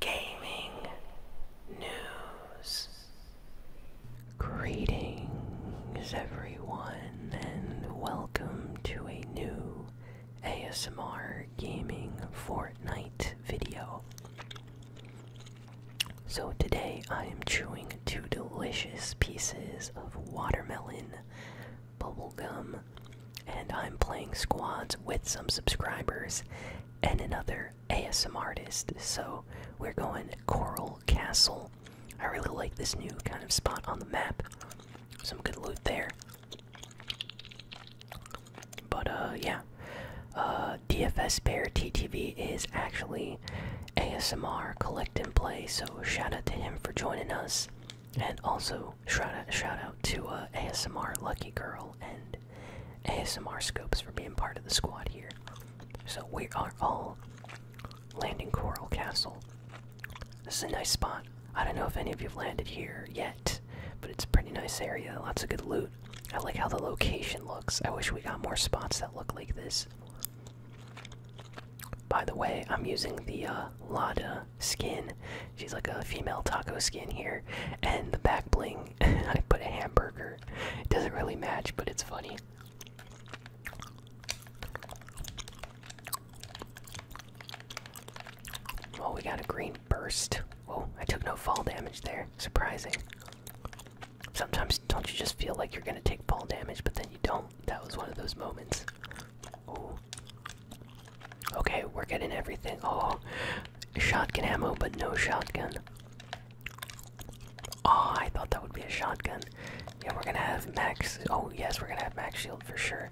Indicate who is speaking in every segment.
Speaker 1: gaming news. Greetings, everyone, and welcome to a new ASMR gaming Fortnite video. So, today I am chewing two delicious pieces of watermelon bubble gum, and I'm playing squads with some subscribers and another ASMR artist, so we're going Coral Castle. I really like this new kind of spot on the map. Some good loot there. But uh, yeah, uh, DFS Bear TTV is actually ASMR Collect and Play, so shout out to him for joining us, and also shout out shout out to uh, ASMR Lucky Girl and ASMR scopes for being part of the squad here. So we are all landing Coral Castle. This is a nice spot. I don't know if any of you have landed here yet, but it's a pretty nice area. Lots of good loot. I like how the location looks. I wish we got more spots that look like this. By the way, I'm using the uh, Lada skin. She's like a female taco skin here, and the back bling I put a hamburger. It doesn't really match, but it's funny. Oh, we got a green burst. Oh, I took no fall damage there. Surprising. Sometimes don't you just feel like you're gonna take fall damage, but then you don't. That was one of those moments. Okay, we're getting everything. Oh, Shotgun ammo, but no shotgun. Oh, I thought that would be a shotgun. Yeah, we're gonna have max. Oh, yes, we're gonna have max shield for sure.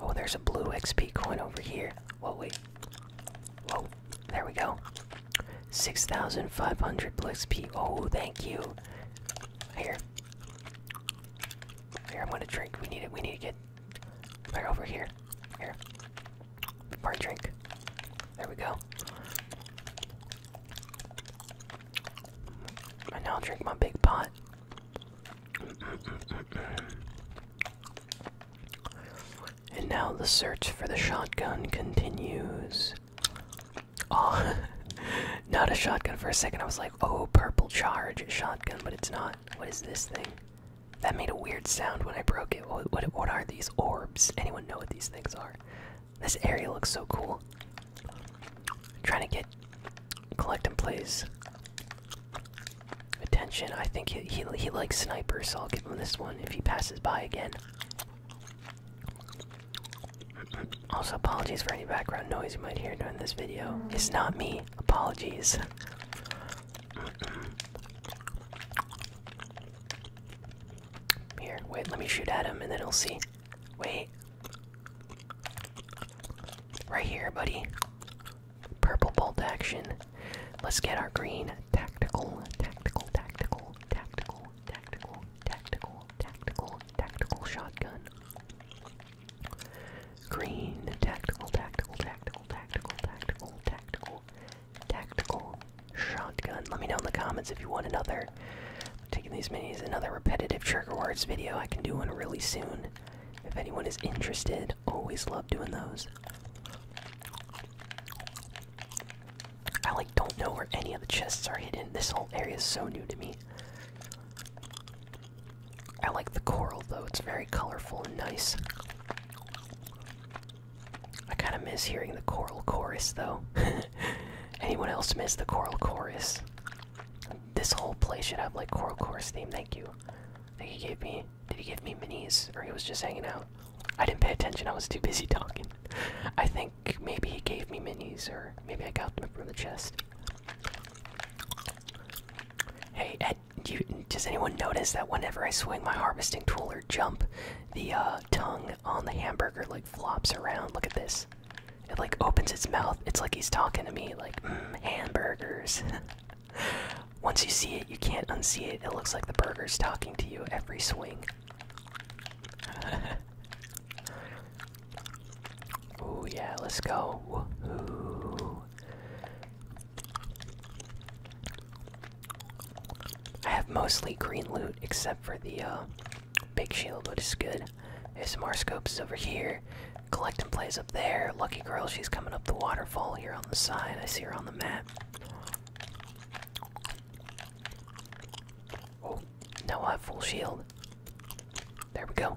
Speaker 1: Oh, there's a blue XP coin over here. Whoa, wait. Whoa, there we go. 6,500 blue XP. Oh, thank you. Here. Here, I'm gonna drink. We need it. We need to get. Right over here. Here. Part drink. There we go. I now drink my big pot. And now the search for the shotgun continues. Oh, not a shotgun for a second. I was like, oh, purple charge shotgun, but it's not. What is this thing? That made a weird sound when I broke it. What, are these orbs? Anyone know what these things are? This area looks so cool. trying to get collect and plays attention. I think he, he likes snipers, so I'll give him this one if he passes by again. Also, apologies for any background noise you might hear during this video. It's not me. Apologies. Here, wait, let me shoot at him and then we will see. Wait. Right here, buddy. Purple bolt action. Let's get our green. Tactical, tactical, tactical, tactical, tactical, tactical, tactical, tactical shotgun. Green. Tactical, tactical, tactical, tactical, tactical, tactical, tactical shotgun. Let me know in the comments if you want another. taking these minis, another repetitive trigger words video. I can do one really soon. If anyone is interested, always love doing those. I like don't know where any of the chests are hidden. This whole area is so new to me. I like the coral though, it's very colorful and nice. I kind of miss hearing the choral chorus though. Anyone else miss the choral chorus? This whole place should have like choral chorus theme. Thank you. I he gave me. Did he give me minis or he was just hanging out? I didn't pay attention. I was too busy talking. I think maybe he gave me minis or maybe I got them from the chest. Hey, does anyone notice that whenever I swing my harvesting tool or jump, the uh, tongue on the hamburger like flops around? Look at this. It like opens its mouth. It's like he's talking to me, like mm, hamburgers. Once you see it, you can't unsee it. It looks like the burger's talking to you every swing. oh yeah, let's go. I have mostly green loot except for the uh, big shield, which is good. ASMR scopes over here. Collecting and plays up there. Lucky girl, she's coming up the waterfall here on the side. I see her on the map. Oh, now I have full shield. There we go.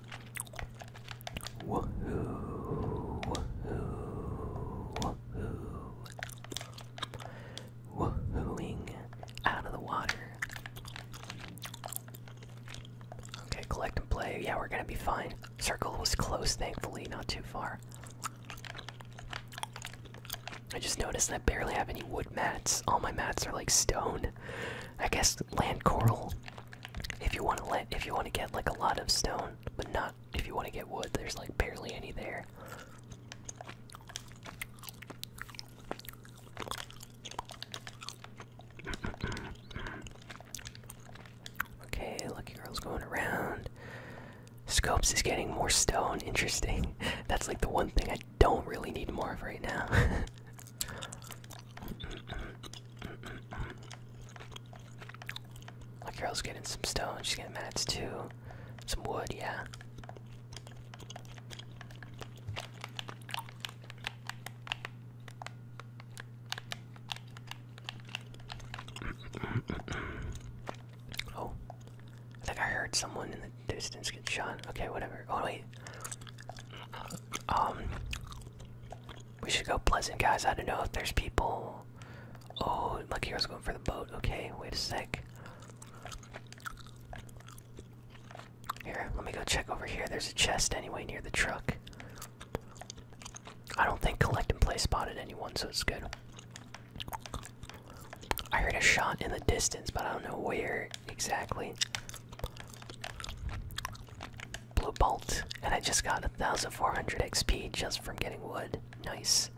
Speaker 1: Woohoo! Woohoo! Woohoo! Woohooing out of the water. Okay, collect and play. Yeah, we're gonna be fine. Circle was close, thankfully, not too far. I just noticed that I barely have any wood mats. All my mats are like stone. I guess land coral. If you want to get like a lot of stone, but not if you want to get wood. There's like barely any there. okay, lucky girl's going around. Scopes is getting more stone. Interesting. That's like the one thing I don't really need more of right now. My girl's getting some stone, she's getting mats too. Some wood, yeah. oh, I think I heard someone in the distance get shot. Okay, whatever. Oh, wait. Um, we should go pleasant, guys. I don't know if there's people. Oh, Lucky was going for the boat. Okay, wait a sec. Here, let me go check over here. There's a chest anyway near the truck. I don't think collect and play spotted anyone, so it's good. I heard a shot in the distance, but I don't know where exactly. Blue bolt, and I just got 1,400 XP just from getting wood. Nice.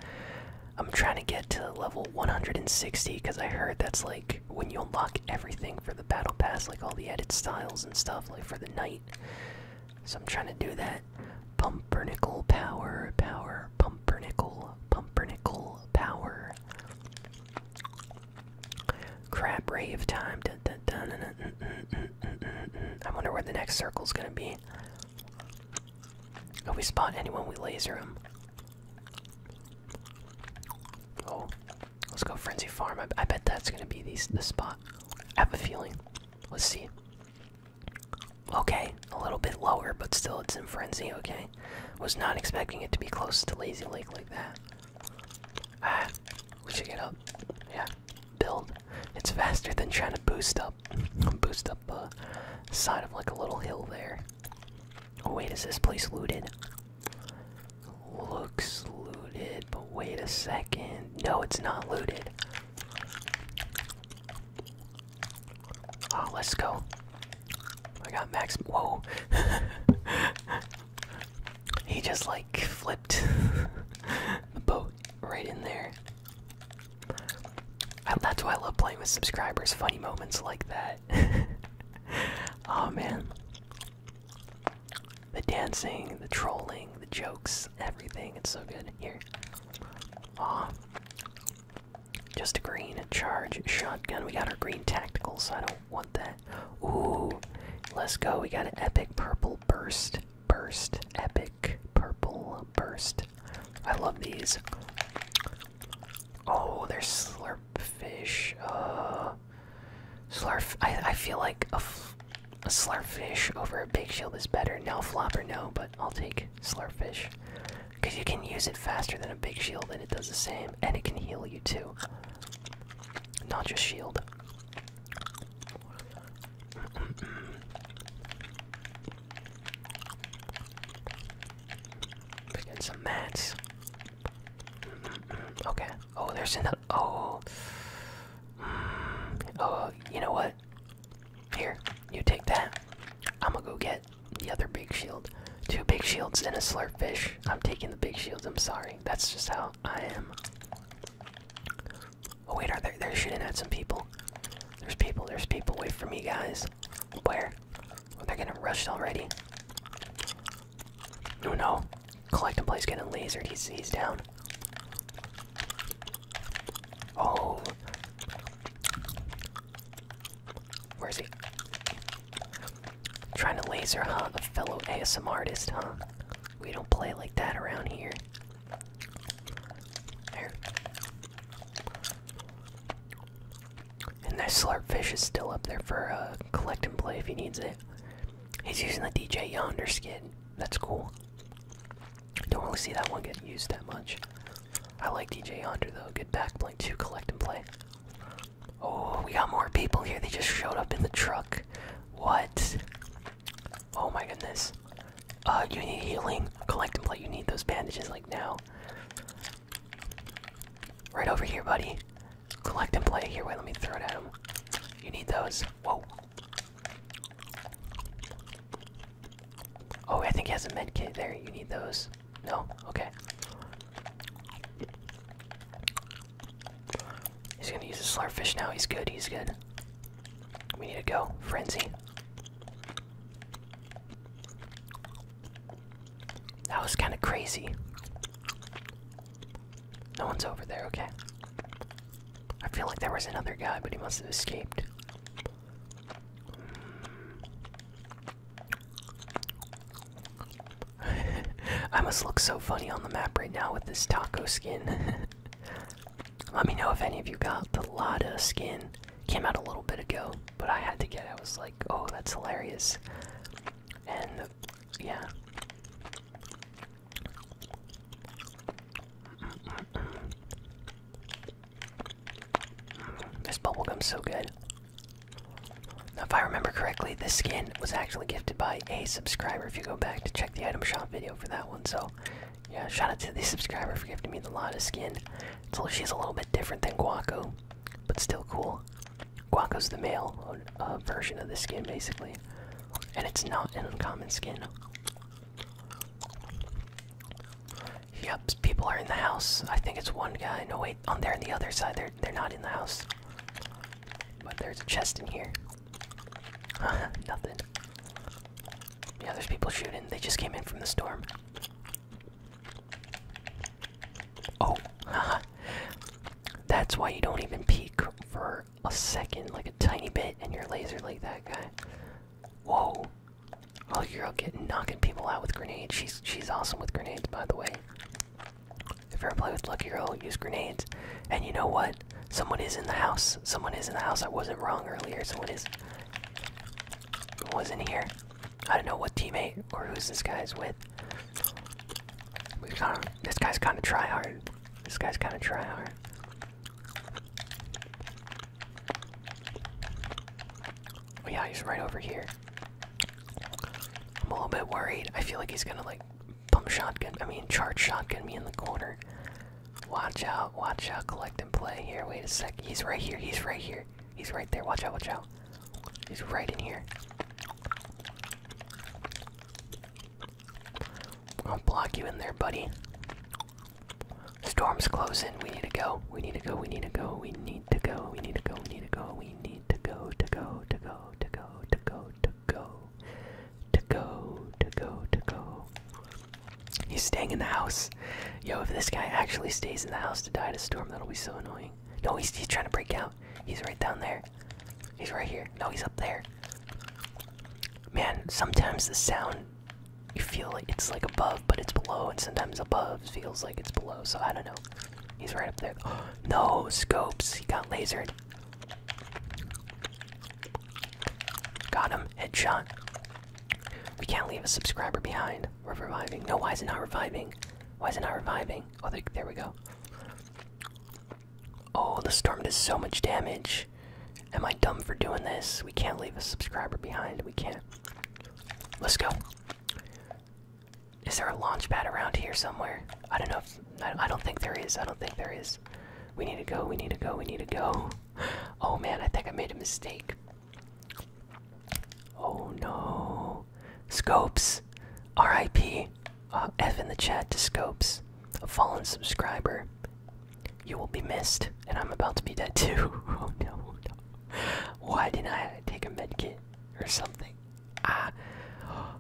Speaker 1: I'm trying to get to level 160 because I heard that's like when you unlock everything for the battle pass, like all the edit styles and stuff, like for the night. So I'm trying to do that. Pumpernickel power, power, pumpernickel, pumpernickel power. Crap rave time. I wonder where the next circle is gonna be. If oh, we spot anyone, we laser him. Oh, let's go frenzy farm. I, bet that's gonna be the spot. I have a feeling. Let's see. Okay, a little bit lower, but still it's in frenzy. Okay, was not expecting it to be close to Lazy Lake like that. Ah, we should get up. Yeah, build. It's faster than trying to boost up, boost up the side of like a little hill there. Oh wait, is this place looted? Looks looted, but wait a second. No, it's not looted. Oh, let's go. I got max. Whoa. he just like flipped the boat right in there. That's why I love playing with subscribers. Funny moments like that. oh man. The dancing, the trolling, the jokes, everything. It's so good. Here. Aw. Just a green charge shotgun. We got our green tactical, so I don't want that. Ooh, let's go. We got an epic purple burst. Burst. Epic purple burst. I love these. Oh, there's slurp fish. Uh, slurp. I, I feel like a, a slurp fish over a big shield is better. No or no, but I'll take slurp fish. Because you can use it faster than a big shield and it does the same. And it can heal you too. Not just shield. get some mats. okay. Oh, there's another. Oh. Oh, you know what? Here, you take that. I'm gonna go get the other big shield. Two big shields and a slurp fish. I'm taking the big shields, I'm sorry. That's just how I am. Oh wait, are they? they're shooting at some people. There's people, there's people. Wait for me guys. Where? Oh, they're getting rushed already. Oh no. Collect and getting lasered, he's he's down. Oh Where is he? Trying to laser hunt a fellow ASM artist, huh? We don't play like that around here. There. And that fish is still up there for uh, collect and play if he needs it. He's using the DJ Yonder skid. That's cool. Don't really see that one getting used that much. I like DJ Yonder though. Good back bling to collect and play. Oh, we got more people here. They just showed up in the truck. What? Oh my goodness. Uh, you need healing. Collect and play. You need those bandages like now. Right over here, buddy. Collect and play. Here, wait, let me throw it at him. You need those. Whoa. Oh, I think he has a med kit there. You need those. No? Okay. He's gonna use a slurfish now. He's good, he's good. We need to go. Frenzy. That was kind of crazy. No one's over there, okay. I feel like there was another guy, but he must have escaped. I must look so funny on the map right now with this taco skin. Let me know if any of you got the Lada skin. Came out a little bit ago, but I had to get it. I was like, oh, that's hilarious. And yeah. this bubble gum's so good. Now, if I remember correctly, this skin was actually gifted by a subscriber. If you go back to check the item shop video for that one, so yeah, shout out to the subscriber for giving me the lotus skin. So she's a little bit different than Guaco, but still cool. Guaco's the male uh, version of the skin, basically, and it's not an uncommon skin. Yep, people are in the house. I think it's one guy. No, wait, on there and the other side, there's they're not in the house. But there's a chest in here. Nothing. Yeah, there's people shooting. They just came in from the storm. Oh, that's why you don't even peek for a second, like a tiny bit, and you're laser like that guy. Whoa! Oh, you're getting knocking people out with grenades. She's she's awesome with grenades, by the way. If you're playing with Lucky Girl, use grenades. And you know what? Someone is in the house. Someone is in the house. I wasn't wrong earlier. Someone is. Was in here. I don't know what teammate or who's this guy's with. We kind this guy's kind of try hard. This guy's kind of try hard. Oh yeah, he's right over here. I'm a little bit worried. I feel like he's gonna like pump shotgun. I mean, charge shotgun me in the corner. Watch out! Watch out! Collect and play here. Wait a sec. He's right here. He's right here. He's right there. Watch out! Watch out! He's right in here. I'll block you in there, buddy. Storm's closing. We need to go. We need to go. We need to go. We need to go, we need to go, we need to go, we need to go, to go, to go, to go, to go, to go, to go, to go, to go. He's staying in the house. Yo, if this guy actually stays in the house to die in to storm, that'll be so annoying. No, he's, he's trying to break out. He's right down there. He's right here. No, he's up there. Man, sometimes the sound, you feel like it's like above, but it's below, and sometimes above feels like it's below, so I don't know. He's right up there. no scopes. He got lasered. Got him. Headshot. We can't leave a subscriber behind. We're reviving. No, why is it not reviving? Why is it not reviving? Oh, there, there we go. Oh, the storm does so much damage. Am I dumb for doing this? We can't leave a subscriber behind. We can't. Let's go. Is there a launch pad around here somewhere? I don't know. If, I, don't think there is. I don't think there is. We need to go. We need to go. We need to go. Oh man, I think I made a mistake. Oh no. Scopes. RIP. Uh, F in the chat to Scopes, a fallen subscriber. You will be missed, and I'm about to be dead too. Oh, oh no. Why didn't I take a med kit or something? Ah.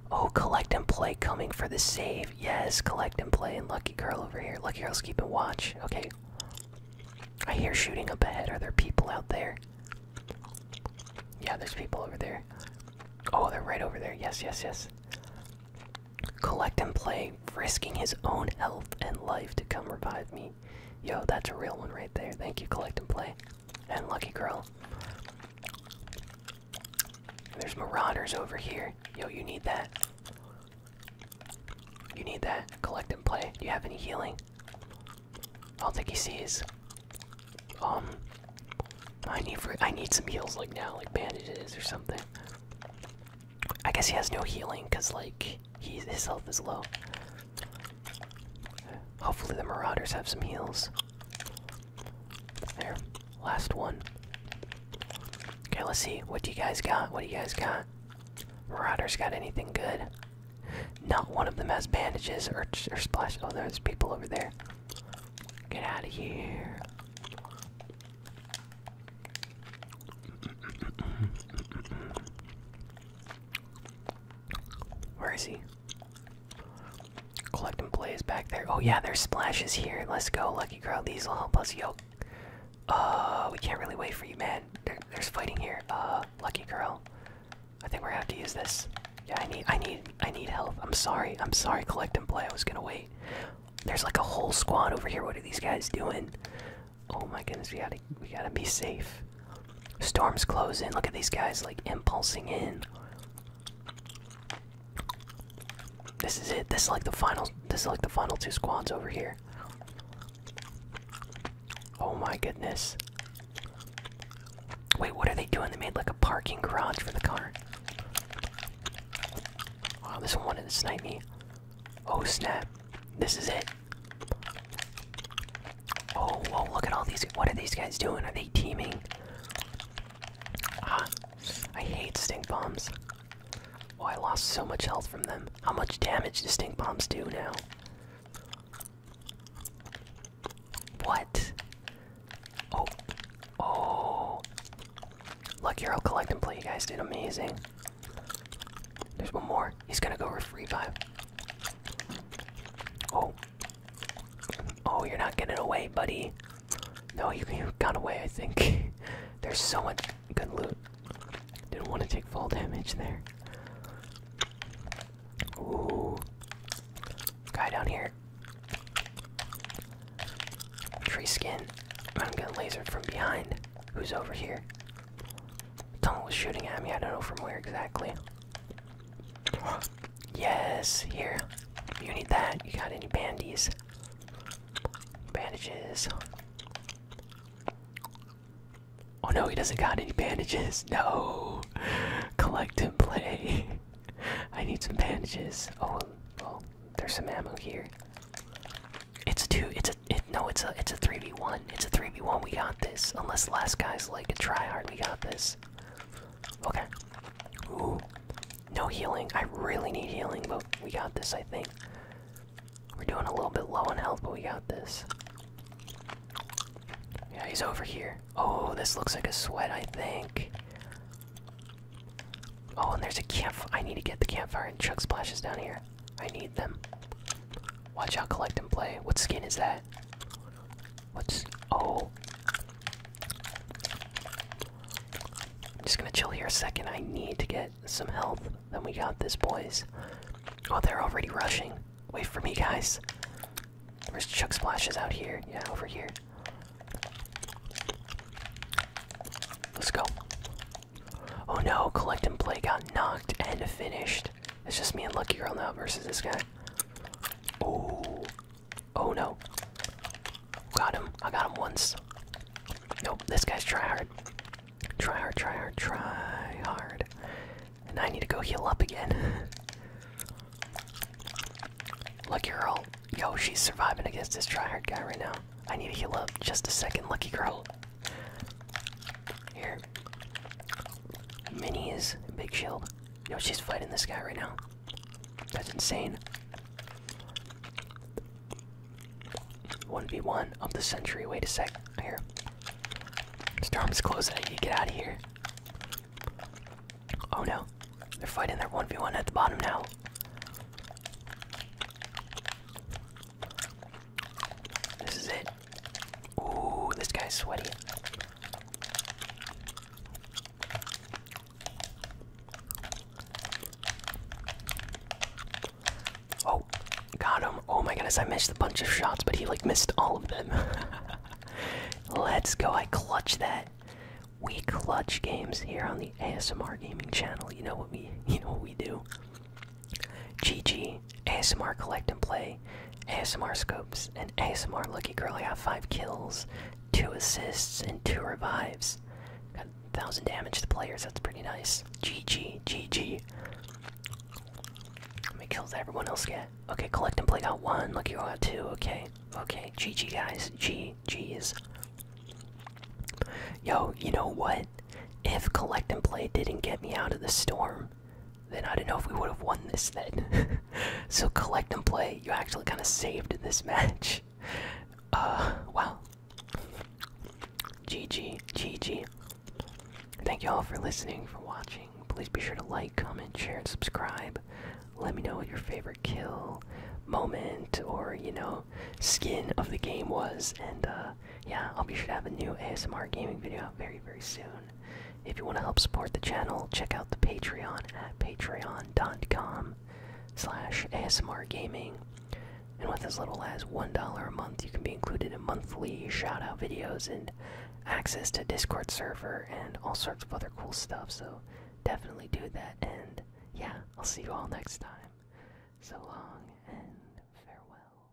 Speaker 1: Oh, collect and play coming for the save. Yes, collect and play. And Lucky Girl over here. Lucky Girl's keeping watch. Okay. I hear shooting up ahead. Are there people out there? Yeah, there's people over there. Oh, they're right over there. Yes, yes, yes. Collect and play, risking his own health and life to come revive me. Yo, that's a real one right there. Thank you, collect and play and Lucky Girl. There's marauders over here. Yo, you need that. You need that. Collect and play. Do you have any healing? I don't think he sees. Um, I need I need some heals like now, like bandages or something. I guess he has no healing because like he's his health is low. Hopefully, the Marauders have some heals. There. Last one. Okay, let's see. What do you guys got? What do you guys got? Marauders got anything good? Not one of them has bandages or, or splash. Oh, there's people over there. Get out of here. Where is he? Collecting blaze back there. Oh yeah, there's splashes here. Let's go, lucky girl. These will help us. Yo, oh, uh, we can't really wait for you, man. there's fighting here. Uh, lucky girl. I think we're gonna have to use this. Yeah, I need, I need, I need help. I'm sorry. I'm sorry. Collect and play. I was gonna wait. There's like a whole squad over here. What are these guys doing? Oh my goodness, we gotta we gotta be safe. Storm's closing. Look at these guys like impulsing in. This is it. This is like the final. This is like the final two squads over here. Oh my goodness. Wait, what are they doing? They made like a parking garage for the car. Wow, this one wanted to snipe me. Oh snap. This is it. Oh, look at all these. What are these guys doing? Are they teaming? Ah, I hate stink bombs. Oh, I lost so much health from them. How much damage do stink bombs do now? What? Oh. Oh. Lucky Hero Collect and Play, you guys did amazing. There's one more. He's gonna go revive. Oh. Oh, you're not getting away, buddy. No, you, you got away, I think. There's so much good loot. Didn't want to take fall damage there. Ooh. Guy down here. Tree skin. I'm getting lasered from behind. Who's over here? Tunnel was shooting at me. I don't know from where exactly. Yes, here. You need that. You got any bandies? Bandages. Oh no, he doesn't got any bandages. No. Collect and play. I need some bandages. Oh, well, there's some ammo here. It's two. It's a. It, no, it's a. It's a three v one. It's a 3v1. We got this. Unless last guy's like a tryhard, we got this. Okay. Ooh. No healing. I really need healing, but we got this, I think. We're doing a little bit low on health, but we got this. Yeah, he's over here. Oh, this looks like a sweat, I think. Oh, and there's a campfire. I need to get the campfire and chuck splashes down here. I need them. Watch out, collect and play. What skin is that? What's oh? I'm just gonna chill here a second. I need to get some health. Then we got this, boys. Oh, they're already rushing. Wait for me, guys. There's Chuck Splashes out here. Yeah, over here. Let's go. Oh no, collect and play got knocked and finished. It's just me and Lucky Girl now versus this guy. Oh, oh no! Got him. I got him once. Nope. This guy's try hard. Try hard. Try hard. Try hard. And I need to go heal up again. Lucky Girl, yo, she's surviving against this try hard guy right now. I need to heal up just a second, Lucky Girl. Here. is big shield. You she's fighting this guy right now. That's insane. 1v1 of the century. Wait a sec. Here. Storm's closing. You get out of here. Oh no. They're fighting their 1v1 at the bottom now. This is it. Ooh, this guy's sweaty. Oh, got him. Oh my goodness, I missed a bunch of shots, but he like missed all of them. Let's go. I clutch that. We clutch games here on the ASMR gaming channel. You know what we you know what we do. GG. ASMR Collect and Play, ASMR Scopes, and ASMR Lucky Girl. I got five kills, two assists, and two revives. Got thousand damage to players. That's pretty nice. GG, GG. How many kills did everyone else get? Okay, Collect and Play got one. Lucky Girl got two. Okay, okay. GG guys. G, G's. Yo, you know what? If Collect and Play didn't get me out of the storm, then I don't know if we would have won this then. so collect and play, you actually kind of saved this match. Uh, wow. GG, GG. Thank you all for listening, for watching. Please be sure to like, comment, share, and subscribe. Let me know what your favorite kill, moment, or, you know, skin of the game was. And, uh, yeah, I'll be sure to have a new ASMR gaming video out very, very soon. If you want to help support the channel, check out the Patreon at patreon.com slash ASMRgaming. And with as little as $1 a month, you can be included in monthly shoutout videos and access to Discord server and all sorts of other cool stuff. So definitely do that. And yeah, I'll see you all next time. So long and farewell.